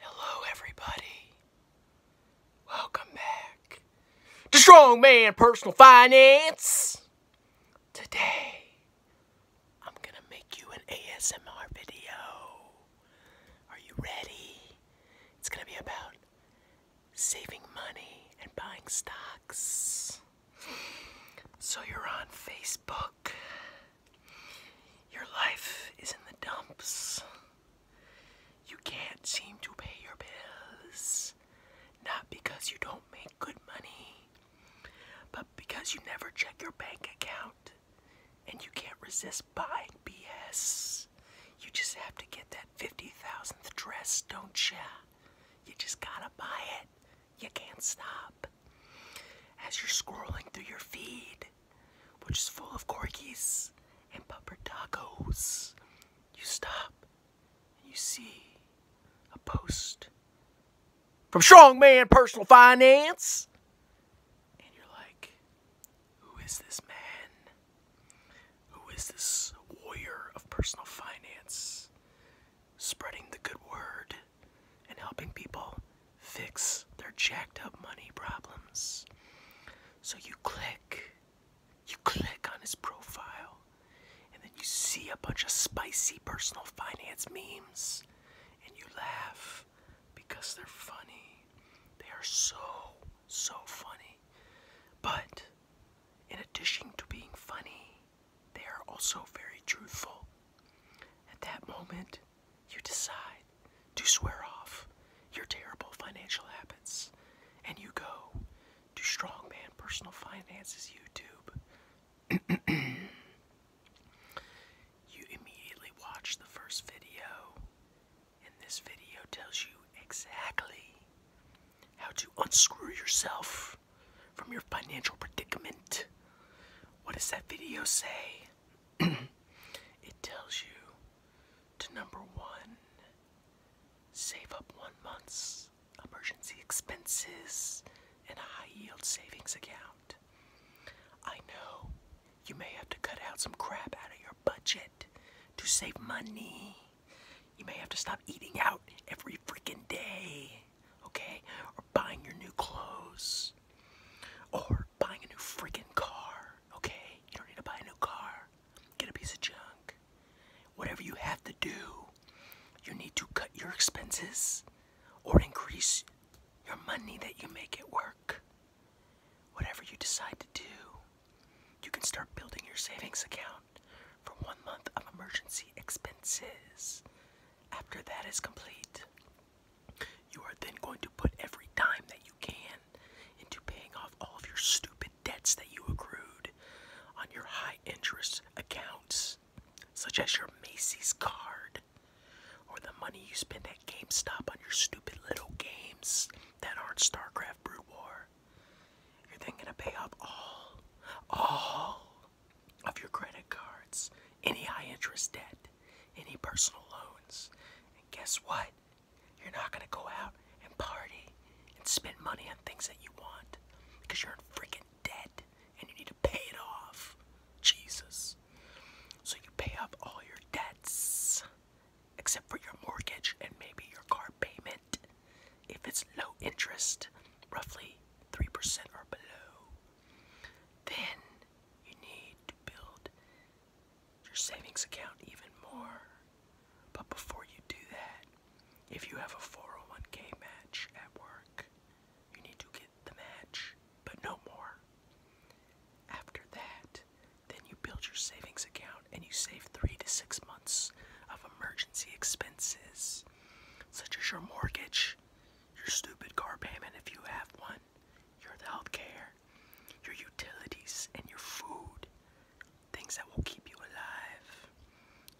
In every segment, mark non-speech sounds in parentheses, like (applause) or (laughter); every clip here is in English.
Hello, everybody. Welcome back to Man Personal Finance. Today, I'm going to make you an ASMR video. Are you ready? It's going to be about saving money and buying stocks. So, you're on Facebook. Your life is in the dumps. You can't seem to pay your bills. Not because you don't make good money, but because you never check your bank account and you can't resist buying BS. You just have to get that 50,000th dress, don't ya? You just gotta buy it. You can't stop. As you're scrolling through your feed, which is full of corgis and pupper tacos, you stop and you see a post from Strongman Personal Finance. And you're like, who is this man? Who is this warrior of personal finance spreading the good word? and helping people fix their jacked up money problems. So you click, you click on his profile, and then you see a bunch of spicy personal finance memes, and you laugh because they're funny. They are so, so funny. But in addition to being funny, they are also very truthful. At that moment, you decide to swear off your terrible financial habits and you go to Strongman Personal Finances YouTube. (clears throat) you immediately watch the first video, and this video tells you exactly how to unscrew yourself from your financial predicament. What does that video say? (clears throat) it tells you to number one, save up one month's emergency expenses in a high yield savings account. I know you may have to cut out some crap out of your budget to save money. You may have to stop eating out every freaking day okay? Or buying your new clothes. Or buying a new freaking car, okay? You don't need to buy a new car. Get a piece of junk. Whatever you have to do, you need to cut your expenses or increase your money that you make it work. Whatever you decide to do, you can start building your savings account for one month of emergency expenses after that is complete. You are then going to put every dime that you can into paying off all of your stupid debts that you accrued on your high interest accounts, such as your Macy's card or the money you spend at GameStop on your stupid little games that aren't StarCraft Brood War. You're then going to pay off all, all of your credit cards, any high interest debt, any personal loans. And guess what? You're not going to go out and party and spend money on things that you want because you're in freaking debt and you need to pay it off. Jesus. So you pay off all your debts except for your mortgage and maybe your car payment if it's low interest, roughly 3% or below then you need to build your savings account even more. But before you do that, if you have a 401k match at work, you need to get the match, but no more. After that, then you build your savings account and you save three to six months of emergency expenses, such as your mortgage, your stupid car payment if you have one, your health care, your utilities, and your food. Things that will keep you alive.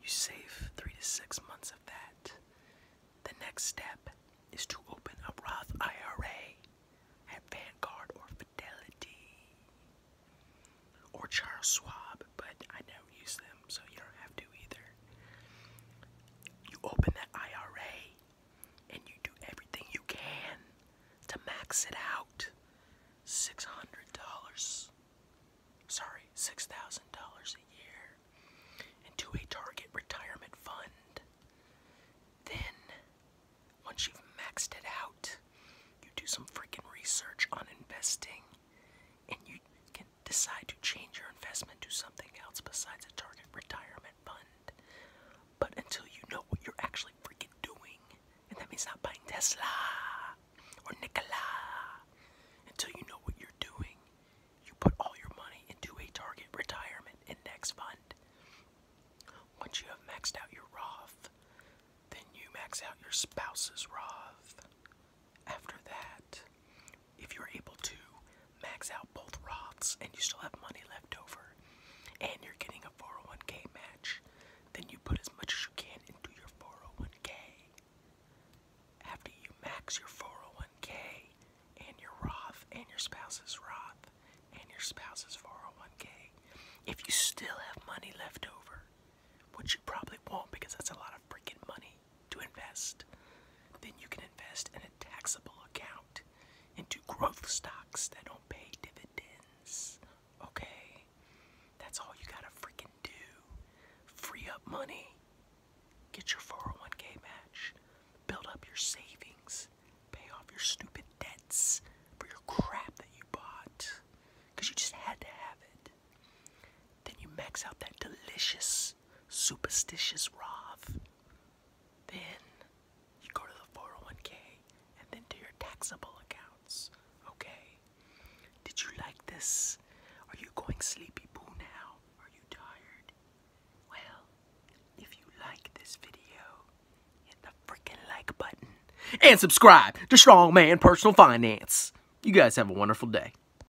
You save three to six months of that. The next step is to open a Roth IRA at Vanguard or Fidelity or Charles Schwab, but I never use them, so you don't have to either. You open that IRA and you do everything you can to max it out. $600. Sorry, $6,000 a year into a target retirement fund. Then, once you've maxed it out, you do some freaking research on investing and you can decide to change your investment to something else besides a target retirement fund. But until you know what you're actually freaking doing, and that means not buying Tesla or Nikola, until you know what you're doing, you put all your money into a target retirement index fund. Once you have maxed out your Roth, then you max out your spouse's Roth. After that, if you're able to max out both Roths and you still have money left over and you're getting a 401k match, then you put as much as you can into your 401k. After you max your 401k and your Roth and your spouse's Roth and your spouse's 401k, if you still have money left over, which you probably won't because that's a lot of freaking money to invest, then you can invest in a taxable account into growth stocks that don't pay dividends. Okay? That's all you gotta freaking do. Free up money, get your 401k match, build up your savings, pay off your stupid debts for your crap that you bought because you just had to have it. Then you max out that delicious, superstitious Roth. Then you go to the 401k and then to your taxable accounts. Okay? Did you like this? Are you going sleepy now? Are you tired? Well, if you like this video, hit the freaking like button and subscribe to Strongman Personal Finance. You guys have a wonderful day.